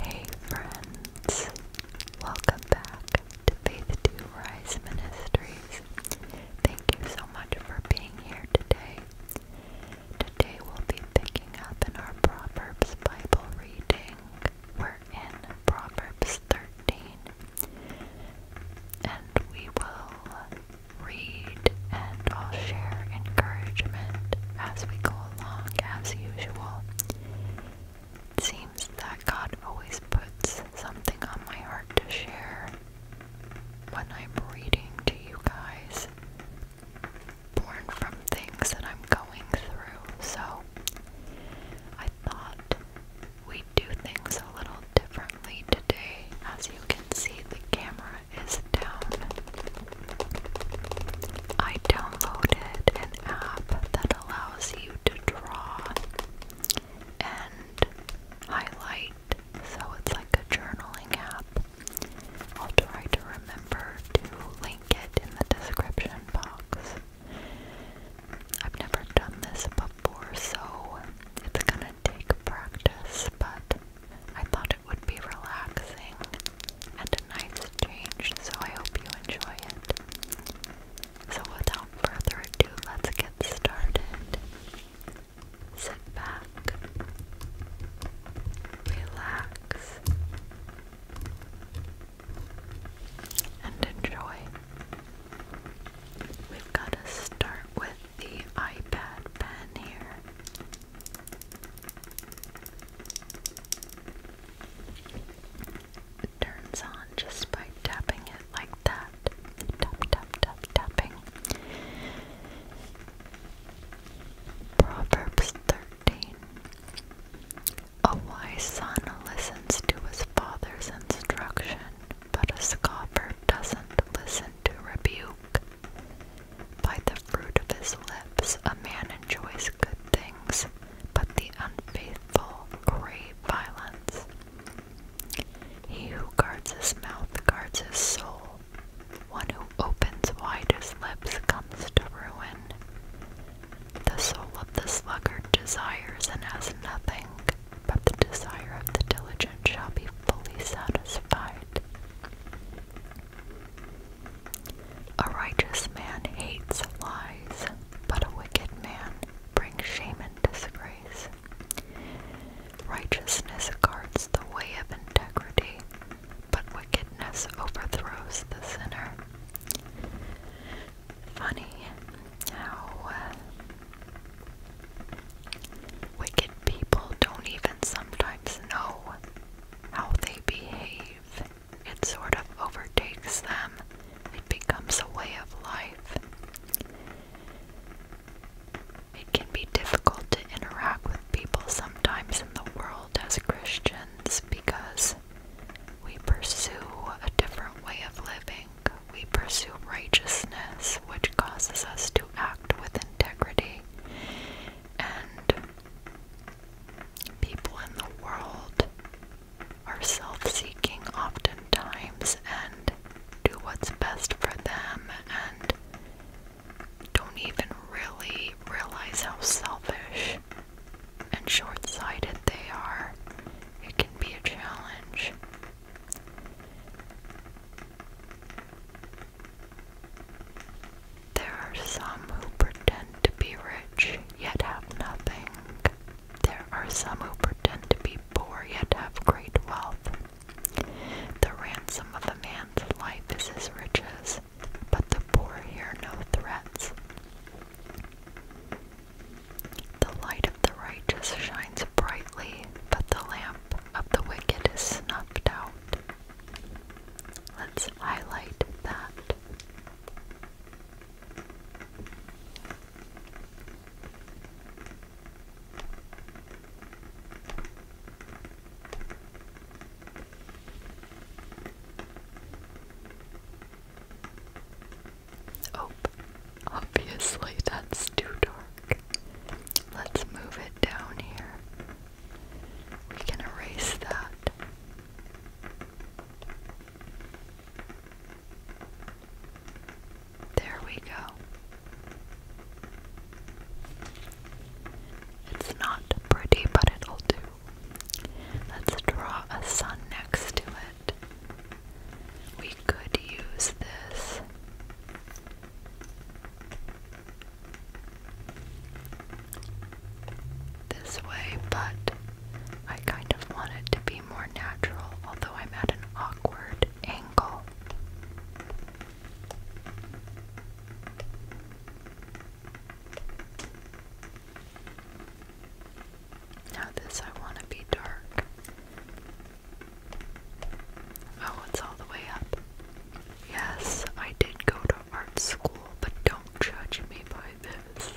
Hey friends, welcome back to Faith to Rise Ministries. Thank you so much for being here today. Today we'll be picking up in our Proverbs Bible reading. We're in Proverbs 13. And we will read and I'll share encouragement as we go along, as usual. It seems that God always puts something on my heart to share when I'm reading to you guys born from things that I'm going through. So I thought we'd do things a little differently today. As you can see, the camera is down. I downloaded an app that allows you to draw and highlight so it's like a journaling app. I'll try to remember to link it in the description box. I've never done this before, so it's gonna take practice, but I thought it would be relaxing and a nice change, so I hope you enjoy it. So without further ado, let's get started sit back, relax, and enjoy. We've got to start with the iPad pen here. It turns on just by tapping it like that. Tap, tap, tap, tapping. Proverbs 13 A wise son listens to his father's instruction, but a scoffer doesn't listen to rebuke. By the fruit of his lips a man enjoys good things, but the unfaithful crave violence. He who guards his mouth guards his soul, one who opens wide his lips comes to ruin. The soul of the sluggard desires and has nothing, but the desire of the diligent shall be fully satisfied. A righteous man hates lies, but a wicked man brings shame and disgrace. Righteousness guards the way of integrity, but wickedness overthrows the sinner. Funny how uh, wicked people don't even sometimes know how they behave. It sort of overtakes them, it becomes a way of life. It can be difficult to interact with people sometimes in the world as Christians because we pursue a different way of living. We pursue righteousness, which causes us to act with integrity. And people in the world are self seeking oftentimes and do what's best for them and don't even really realize how selfish and short sighted they are. It can be a challenge. There are some who pretend to be rich yet have nothing. There are some who pretend to be poor yet have great wealth. The ransom of a man's life is his riches, but the poor hear no threats. The light of the righteous shines brightly, but the lamp of the wicked is snuffed out. Let's highlight that. Oh, obviously that's too dark. Let's move it down here. We can erase that. There we go. It's not pretty, but it'll do. Let's draw a sun next to it. We could use this. This way, but I kind of want it to be more natural, although I'm at an awkward angle. Now this I want to be dark. Oh, it's all the way up. Yes, I did go to art school, but don't judge me by this.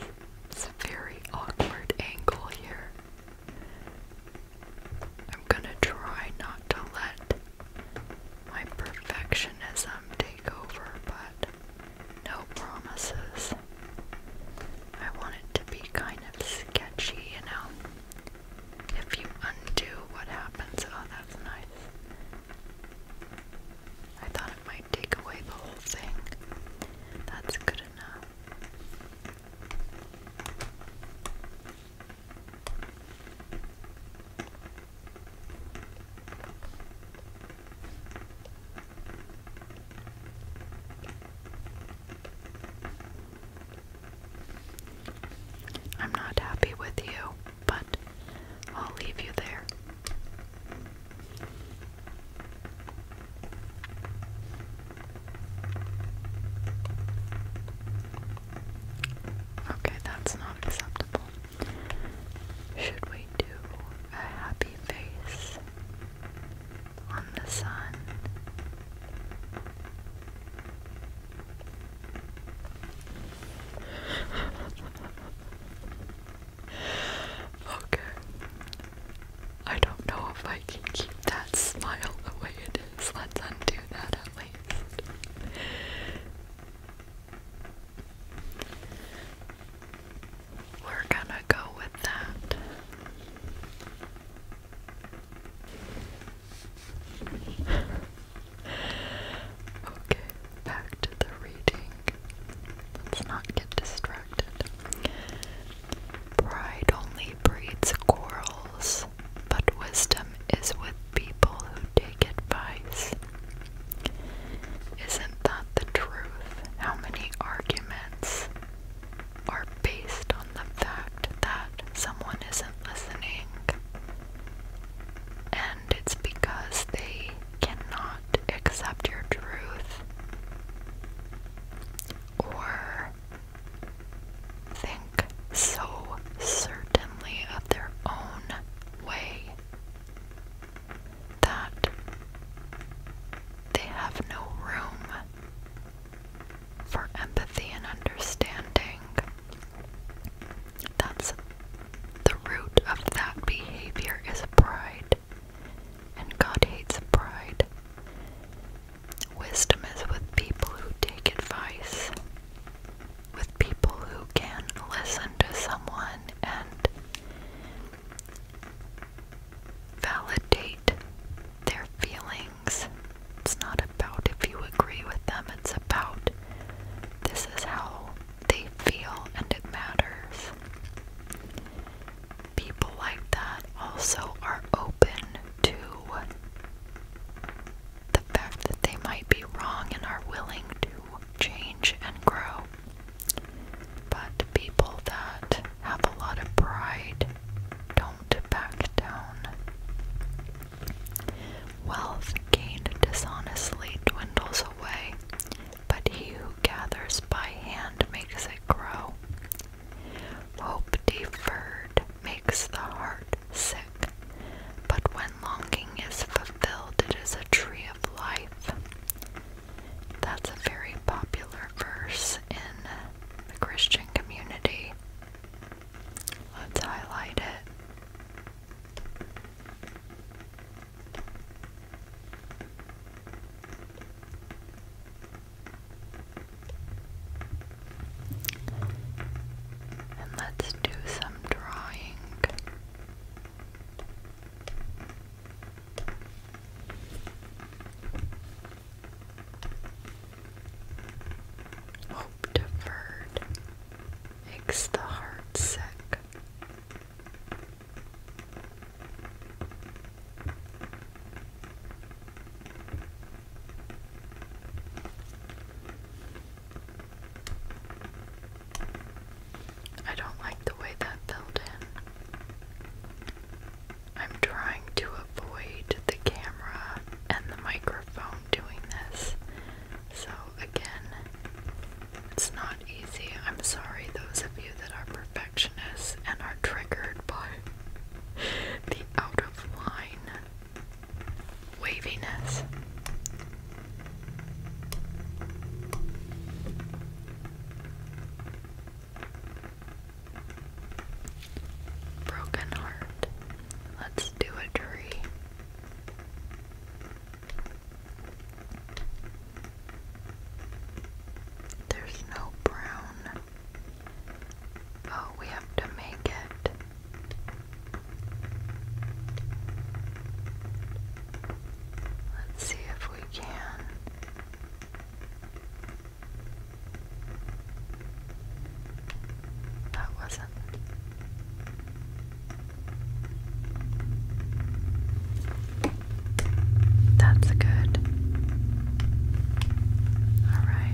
It's a very awkward angle here. I'm gonna try not to let my perfectionism take over, but no promises. I want it to be kind of sketchy, you know. If you undo what happens, oh, that's nice. I thought it might take away the whole thing. That's good enough. I'm not happy with you, but I'll leave you there. Okay, that's not acceptable. Should we do a happy face on the sun? okay. I don't know if I can keep that smile the way it is. Let's undo that at least. We're gonna go with that. okay, back to the reading. Let's not get distracted. Pride only breeds quarrels but wisdom is with people who take advice. Isn't that the truth? How many arguments are based on the fact that someone isn't listening? And it's because they cannot accept your truth or think so certainly of their own way that they have no room for empathy and understanding. That's the root of that behavior is pride. And God hates pride. Wisdom is with people who take advice with people who can listen to someone and validate their feelings. It's not about if you agree with them, it's about this is how they feel and it matters. People like that also are open to the fact that they might be wrong and are willing to change and grow. But people that have a lot of pride don't back down. Wealth gained dishonestly dwindles away, but he who gathers by hand makes it grow. Hope deferred makes the heart sick. But when longing is fulfilled, it is a tree of life. That's a very popular verse in the Christian community. Let's highlight it. And let's do some Hope deferred makes the heart sick. I don't like the way that filled in. I'm trying to avoid the camera and the microphone doing this. So, again, it's not easy. I'm sorry, those of you that are perfectionists and are triggered by the out of line waviness. Broken heart. Let's do a tree. There's no brown. Oh, we have to make it. Let's see if we can. That wasn't. That's good. All right.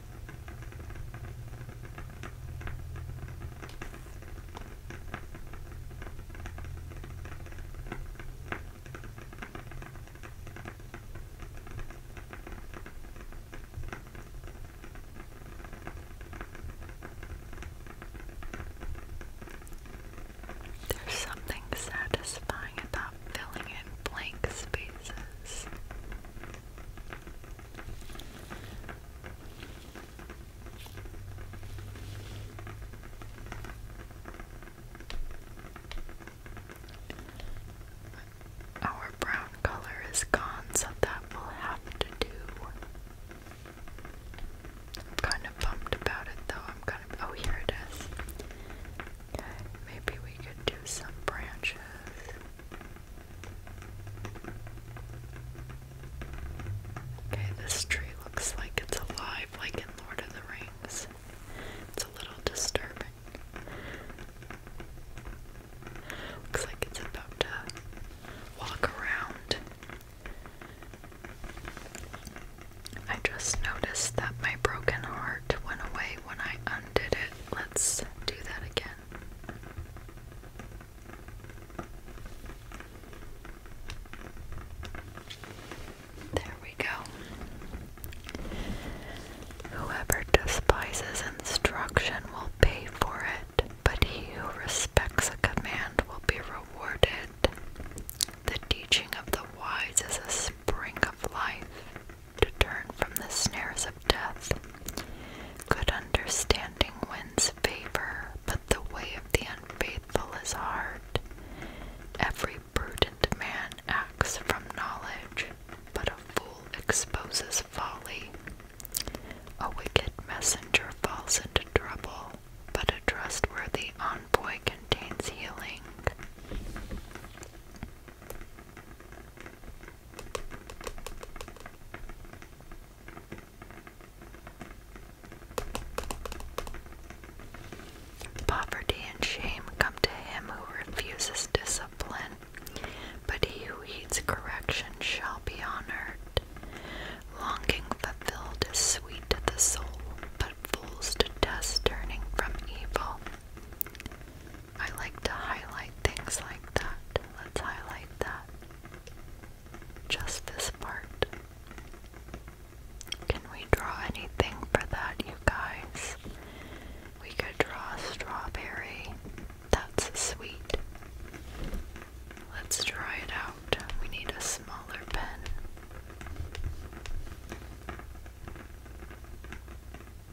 There's something satisfying about filling in blank spaces. Our brown color is gone, so that will have to do. I'm kind of bummed about it though. I'm kind of. Oh, here it is. Okay, maybe we could do some branches. Okay, this tree looks like it's alive, like Lord of the Rings. It's a little disturbing. Looks like it's about to walk around. I just noticed that my broken heart went away when I undid it. Let's do that again. There we go. Whoever despises instruction will pay for it, but he who respects a command will be rewarded. The teaching of the wise is a spring of life to turn from the snares of death. Good understanding wins favor, but the way of the unfaithful is hard. Every prudent man acts from knowledge, but a fool exposes folly. A wicked messenger falls into trouble, but a trustworthy envoy contains healing. Poverty and shame come to him who refuses discipline, but he who heeds correction shall be honored. Longing fulfilled is sweet to the soul, but fools detest turning from evil. I like to highlight things like that. Let's highlight that. Just this part. Can we draw anything for that, you guys? We could draw a strawberry. That's sweet. Let's try it out. We need a smaller pen.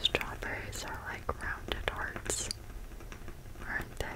Strawberries are like rounded hearts, aren't they?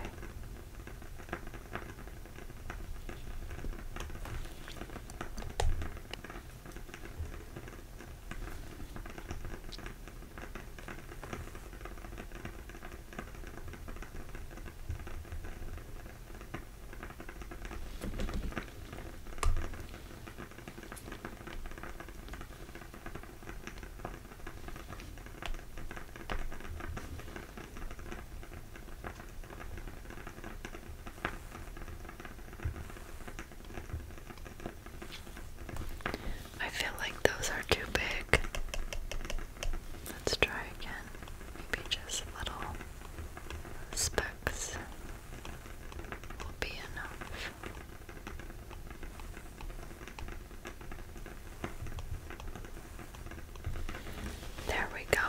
I feel like those are too big. Let's try again. Maybe just little specks will be enough. There we go.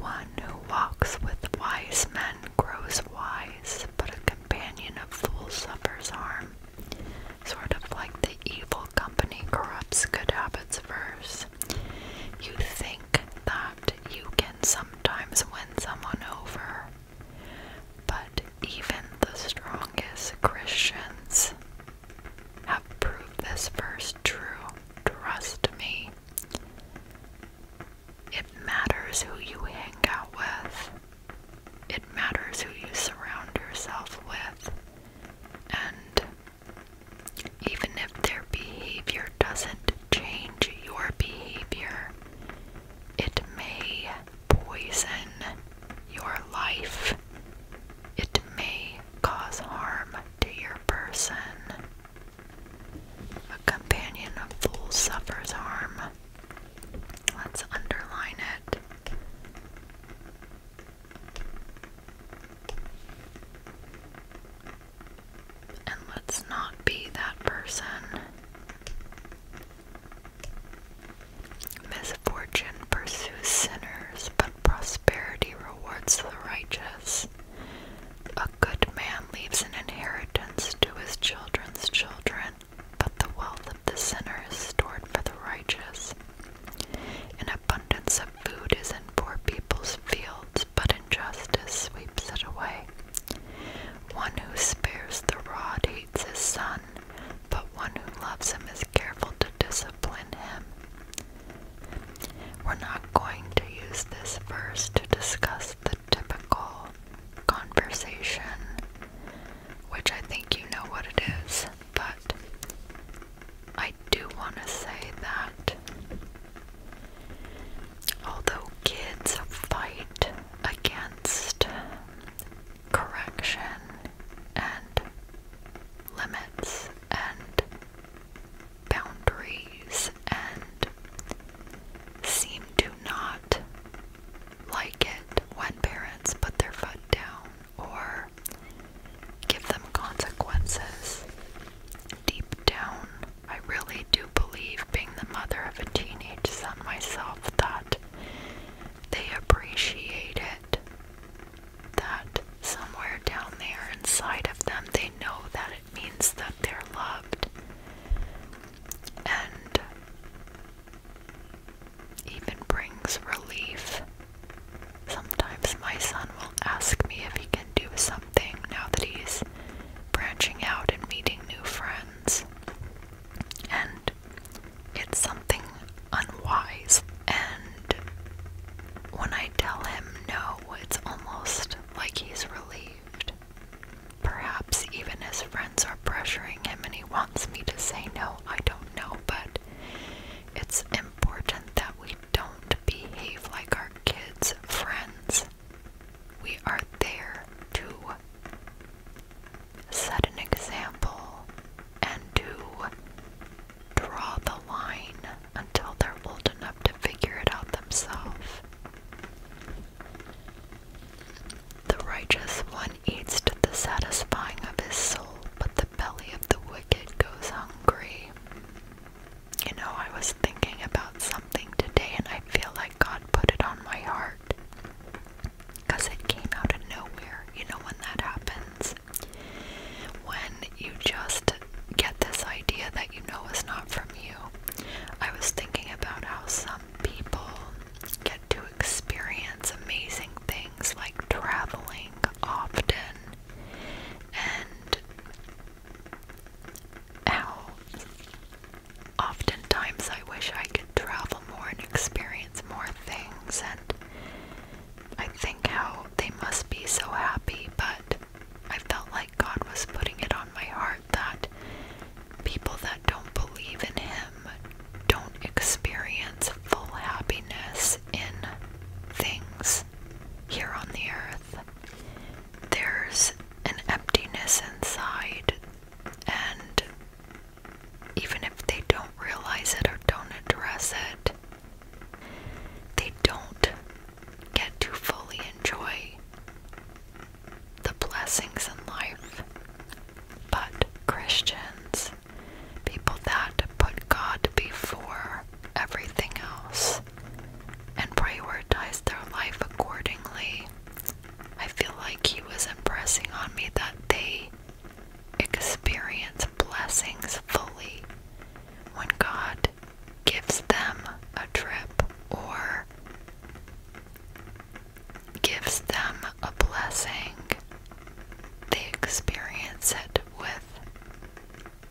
One who walks with wise men grows wise, but a companion of fools suffers harm. Sort of like the evil company corrupts good habits verse. You think that you can sometimes win someone over, but even the strongest Christians have proved this verse true. Trust me. It matters who you hang out with it matters who you surround yourself with, and even if their behavior doesn't change your behavior, it may poison your life. It may cause harm to your person. A companion of fools suffers harm. Let's underline it. And let's not be that person. Misfortune pursues sinners, but prosperity rewards the righteous. A good man leaves an inheritance to his children's children, but the wealth of the sinner is stored for the righteous. An abundance of food is in poor people's fields, but injustice sweeps it away. One who spares the rod hates his son, but one who loves him is careful to discipline him. We're not going to use this verse to discuss the typical conversation which I think you know what it is, but I do want to say that although kids fight against correction and limits and boundaries and seem to not like it when parents put their foot down or give them consequences. Deep down, I really do believe, being the mother of a teenage son myself, that they appreciate it. That somewhere down there inside of them, they know that it means that they're loved. And even brings relief. Sometimes my son will ask me if he can do something now that he's branching out and meeting new friends. And it's something unwise. And when I tell him no, it's almost like he's relieved. Perhaps even his friends pressuring him and he wants me to say no, I don't know, but it's important that we don't behave like our kids' friends. We are there to set an example and to draw the line until they're old enough to figure it out themselves. The righteous one eats to the satisfying of his soul, but the belly of the wicked goes hungry. You know, I was thinking about something today and I feel like God put it on my heart. Because it came out of nowhere. You know when that happens? When you just get this idea that you know is not from you. I was thinking about how some people get too experience amazing things like traveling often and how oftentimes I wish I could travel more and experience more things and I think how they must be so happy but I felt like God was putting it on my heart that people that don't believe in him don't experience full happiness in things here on the earth. There's an emptiness inside, and even if they don't realize it or don't address it, they don't get to fully enjoy the blessings in life. But Christians people that put God before everything else and prioritize their life accordingly. I feel like He was impressing on me that they experience blessings fully when God gives them a trip or gives them a blessing, they experience it with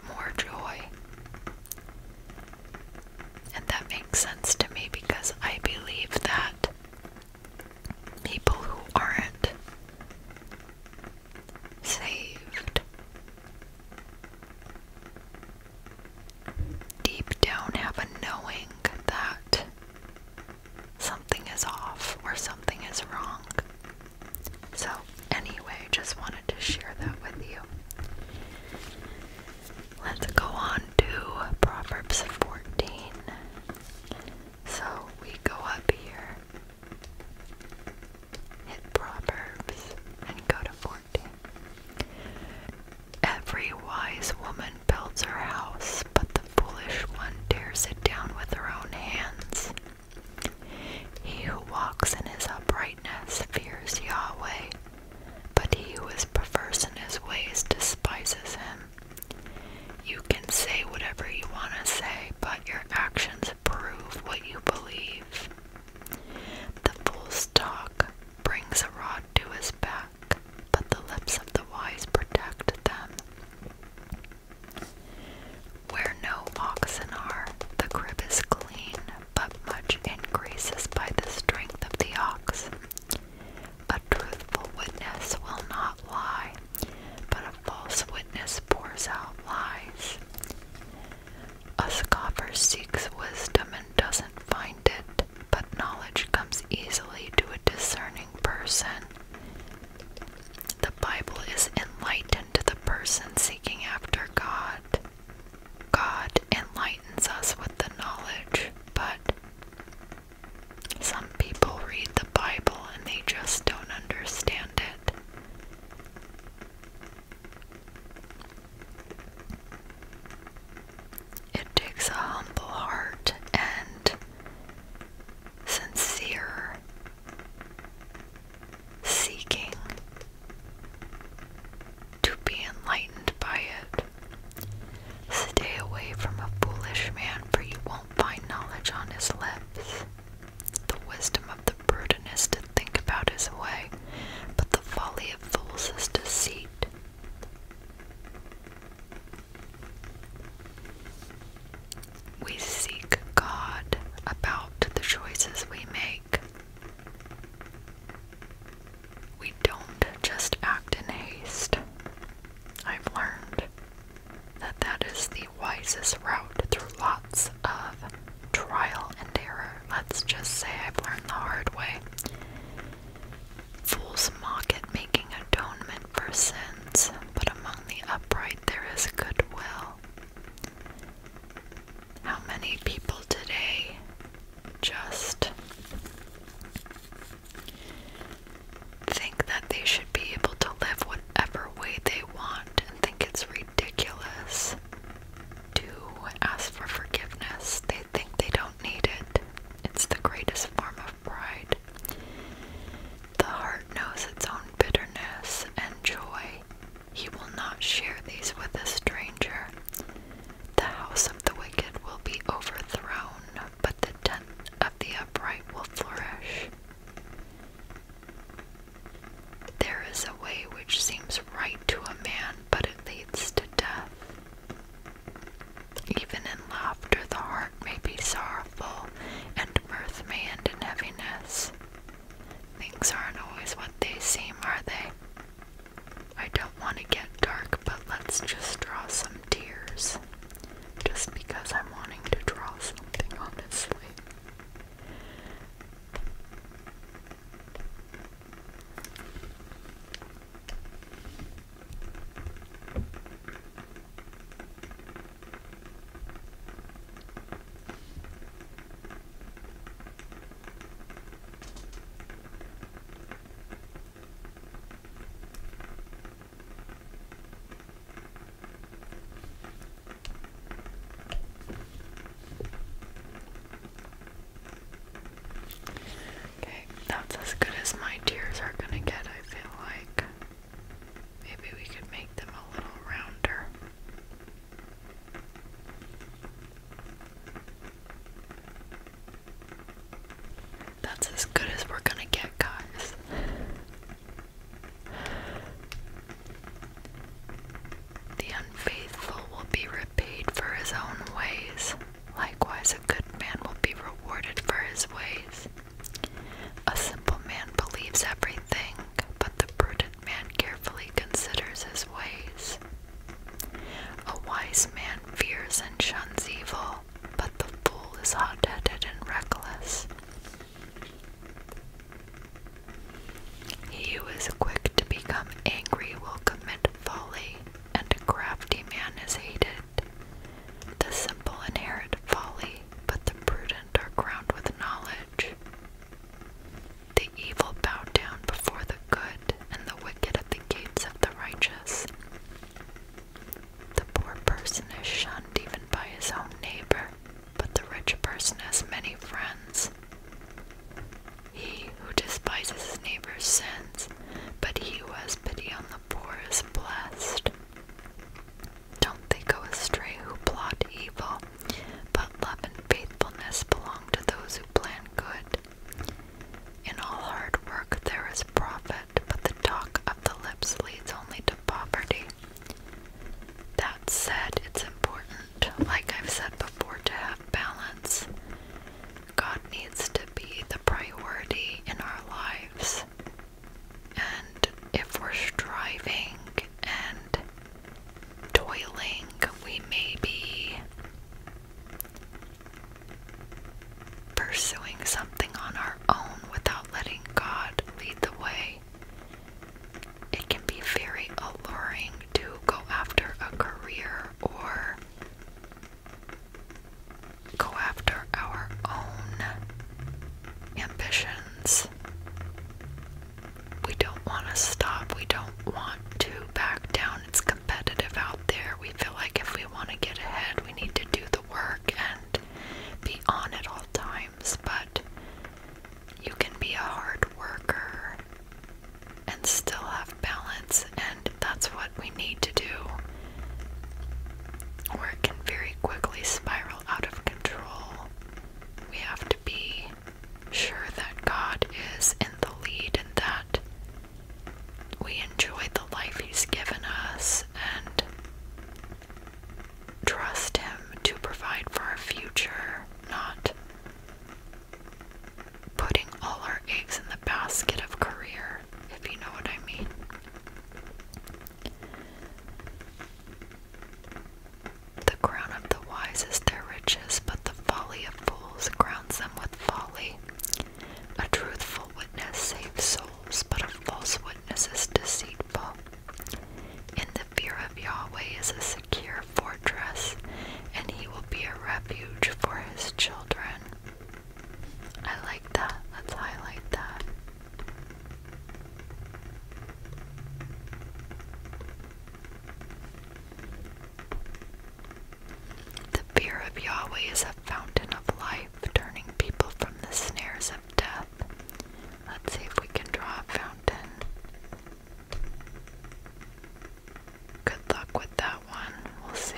more joy. And that makes sense to me because I believe that people who aren't saved deep down have a knowing that something is off or something is wrong. So, anyway, just wanted to share that with you. Let's go on to Proverbs 14. So, we go up here, hit Proverbs, and go to 14. Every wise woman builds her house, but the foolish one tears it down with her own hands. He who walks in his uprightness fears Yahweh, but he who is perverse in his ways despises him. You can say whatever you want to say, but your actions prove what you believe. The fool's talk brings a rod to his back, but the lips of the wise protect them. Where no oxen are, the crib is clean, but much increases by the strength of the ox. A truthful witness will not lie, but a false witness pours out lies. A scoffer seeks wisdom and doesn't find it, but knowledge comes easily to a discerning person. The Bible is enlightened to the person seeking after God. God enlightens us with the knowledge, but some people read the Bible and they just don't understand it. It takes a humble heart and sincere, seeking to be enlightened by it. Stay away from a foolish man, for you won't find knowledge on his lips. The wisdom of the prudent is to think about his way, but the folly of fools is deceit. We seek God about the choices we make. We don't just act in haste. I've learned that that is the wisest route through lots of trial and error. Let's just say I've learned the hard way. Fools mock at making atonement for sins but among the upright there is goodwill. How many people today just think that they should be able to live whatever way they want and think it's ridiculous to ask for forgiveness? They think they don't need it. It's the greatest form of of pride. The heart knows its own bitterness and joy. He will not share these with a stranger. The house of the wicked will be overthrown, but the tent of the upright will flourish. There is a way which seems right to a man, but it leads to death. Even in laughter, the heart may be sorrowful, and mirth may end in heaviness. Things aren't always what they seem, are they? I don't want to get dark, but let's just draw some tears. Just because I'm wanting to draw something, honestly. Okay, that's as good as my tears are gonna get, I feel like. Maybe we could make them a little rounder. That's as good as we're gonna get, guys. The unfaithful will be repaid for his own ways. Likewise, a good man will be rewarded for his ways. A simple man believes everything, but the prudent man carefully considers his ways. A wise man fears and shuns evil, but the fool is hot headed and reckless. He who is quick to become angry will commit folly, and a crafty man is hated. The simple inherit folly, but the prudent are crowned with knowledge. The evil bow down before the good, and the wicked at the gates of the righteous. The poor person is shunned even by his own neighbor, but the rich person has many friends. He who despises his neighbor's sins, but he who has pity on the poor is blessed. Don't they go astray who plot evil, but love and faithfulness belong to those who plan good. In all hard work there is profit, but the talk of the lips leads only to poverty. That said, it's important, like I've said before, to have balance. God needs to be the priority in our lives. And if we're striving and toiling, we may be pursuing something on our own without letting God lead the way. It can be very alluring to go after a career or go after our own ambitions. We don't want to stop. We don't want to back down. It's competitive out there. We feel like if we want to get ahead, we need to do the work and be on at all times. But you can be a hard worker and still have balance, and that's what we need to do or it can very quickly spiral out of control. We have to be sure that God is in the lead and that we enjoy the life He's given us and trust Him to provide for our future, not putting all our eggs in the basket of career, if you know what I mean. The crown of the wise is their riches, but the folly of fools grounds them with folly. A truthful witness saves souls, but a false witness is deceitful. In the fear of Yahweh is a secure fortress, and he will be a refuge for his children. I like that. Let's highlight that. The fear of Yahweh is a fountain of life, turning people from the snares of death. Let's see if we can draw a fountain. Good luck with that one. We'll see.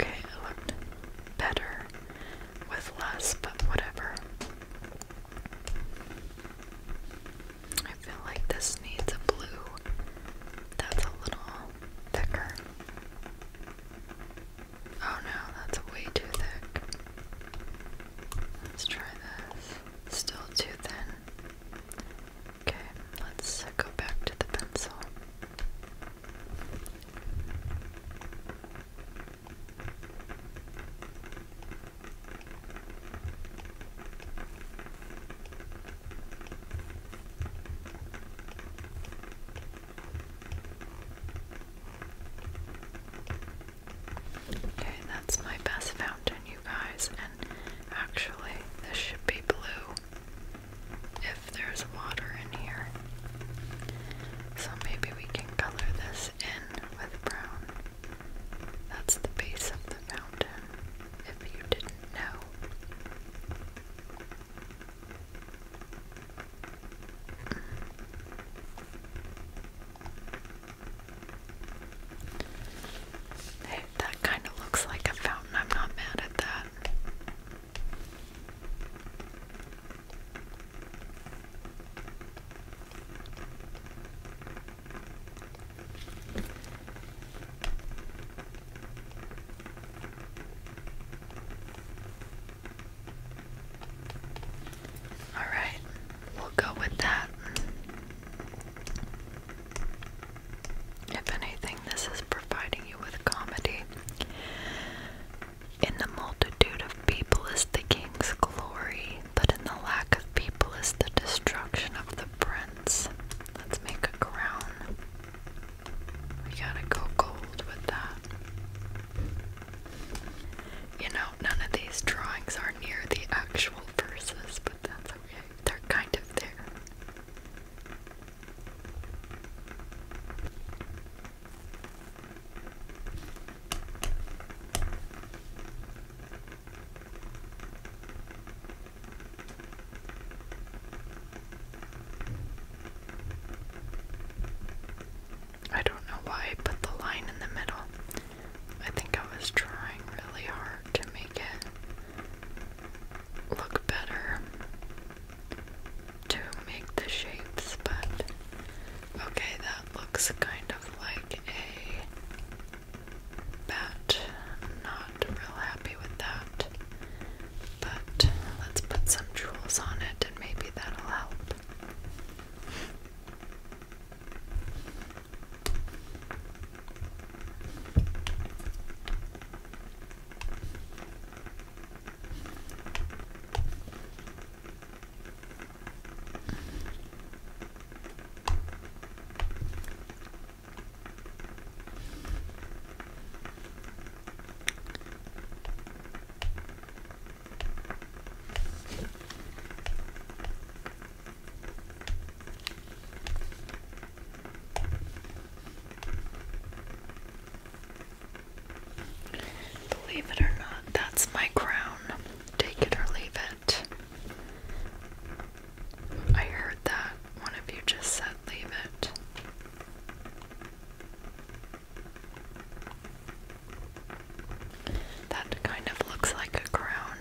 Okay, it looked better with less, but whatever. I feel like this needs a blue that's a little thicker. Oh no, that's way too thick. Let's try this. Still too thin. Okay, let's go back to the pencil. Okay, that's my best fountain, you guys, and actually, this should be blue if there's water in here. So maybe we can color this in with brown. That's the base of the fountain. If you did Hey, that kind of looks like a fountain. I'm not mad at that. All right, we'll go with that. If anything, this is providing you with comedy. In the multitude of people is the king's glory, but in the lack of people is the destruction of the prints. Let's make a crown. We gotta go gold with that. You know, none of these drawings are near the actual verses, but that's okay. They're kind of there. I don't know why I put the line in the middle. I think I was trying really hard to make it look better to make the shapes, but okay, that looks kind of like a bat. not real happy with that. But let's put some jewels on it and maybe that'll help. Believe it or not, that's my crown. Take it or leave it. I heard that. One of you just said leave it. That kind of looks like a crown.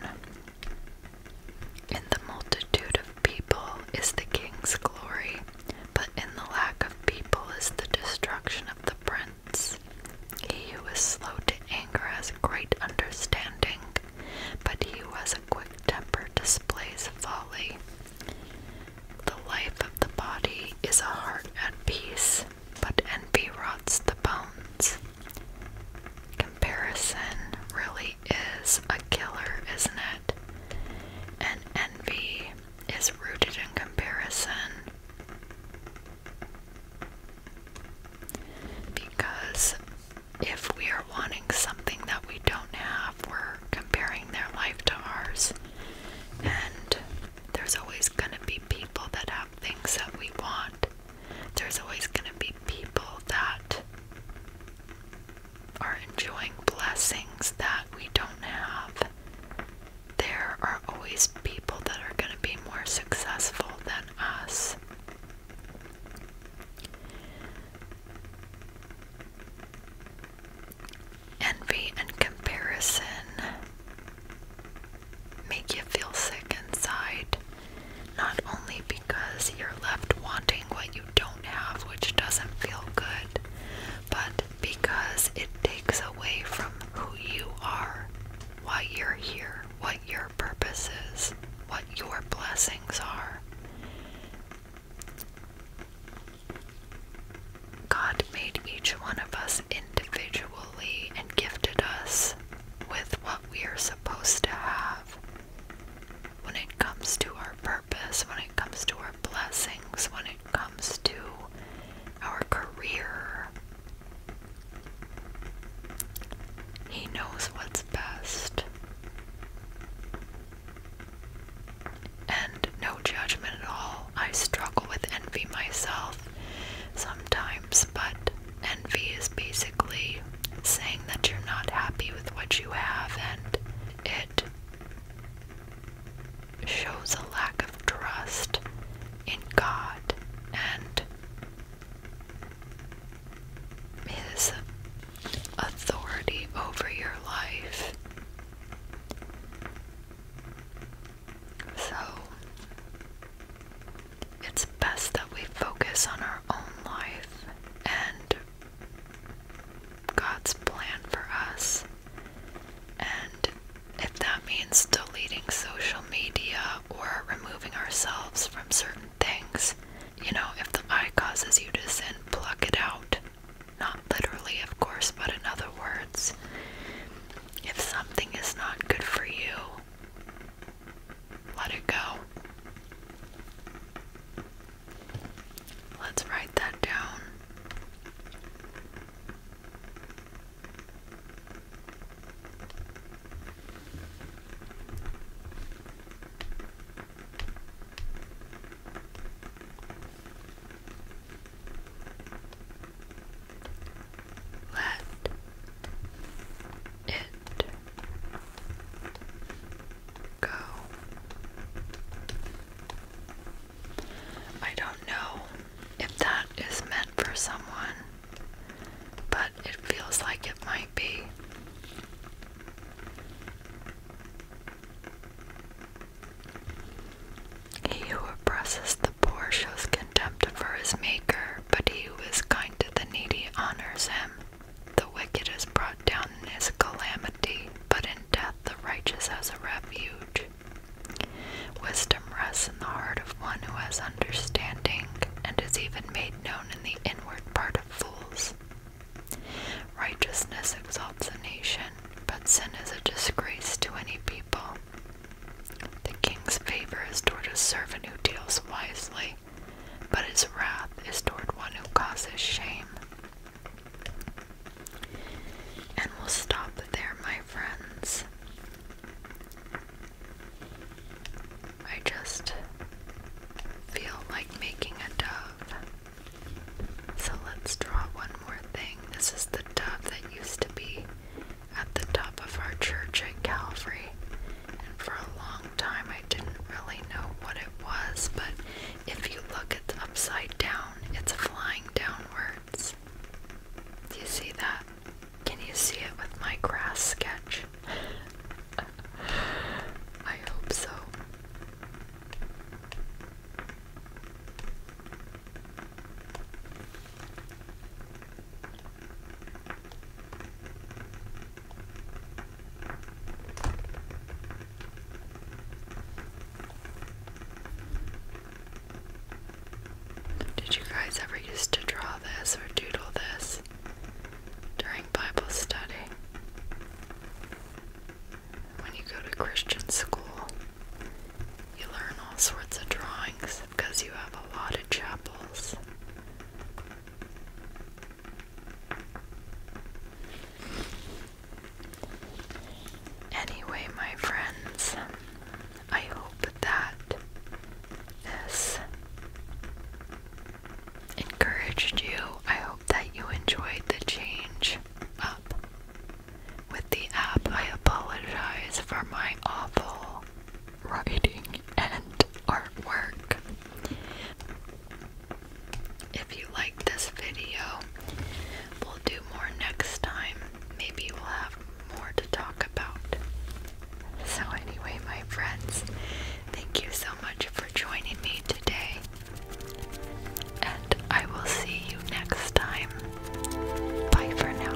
In the multitude of people is the king's glory, but in the lack of people is the destruction of the prince. He who is slow to anger has great understanding, but he was a quick temper displays folly. The life of the body is a heart at peace, but envy rots the bones. Comparison really is a killer, isn't it? And envy is rooted in comparison. Because if we are wanting something that we don't have, we're comparing their life to ours. And there's always going to be people that have things that we want. There's always going to be people that are enjoying blessings that we don't have. There are always people that are going to be more successful than us. Envy and comparison make you feel sick inside, not only because you're left wanting what you don't have, which doesn't feel good, but because it takes away from who you are, why you're here, what your purpose is, what your blessings are. God made each one of us individually and gifted us with what we are supposed to have. When it comes to our purpose, when it comes to our blessings, when it comes to our career, He knows what's its And no judgment at all. I struggle with envy myself sometimes, but envy is basically saying that you're not happy with what you have, and it shows a lack of trust in God and his authority over your life. So it's best that we focus on our own life and God's plan for us. And if that means deleting social media or removing ourselves from certain things, you know, if the eye causes you to sin, pluck it out. Not literally, of course, but in other words, if something is not good for you, let it go. Let's write that down. Let it go. I don't know if that is meant for someone, but it feels like it might be. He who oppresses the poor shows contempt for his maker, but he who is kind to the needy honors him. The wicked is brought down in his calamity, but in death the righteous has a refuge. Wisdom rests in the heart of one who has understanding, and is even made known in the inward part of fools. Righteousness exalts a nation, but sin is a disgrace to any people. The king's favor is toward a servant who deals wisely, but his wrath is toward one who causes shame. And we'll stop there, my friends. I just feel like making a dove. So let's draw one more thing. This is the dove that used to be at the top of our church at Calvary. And for a long time, I didn't really know what it was, but if you look, it's upside down, it's flying downwards. Do you see that? Can you see it with my grass sketch? I hope so. Did you guys ever used to draw this or doodle this? during Bible study, when you go to Christian school, you learn all sorts of drawings because you have a lot of chapels. Anyway, my friends, I hope that this encouraged you. I hope that you enjoyed the change up with the app. I apologize for my awful writing and artwork. If you like this video, we'll do more next time. Maybe we'll have more to talk about. So, anyway, my friends, thank you so much much for joining me today, and I will see you next time. Bye for now.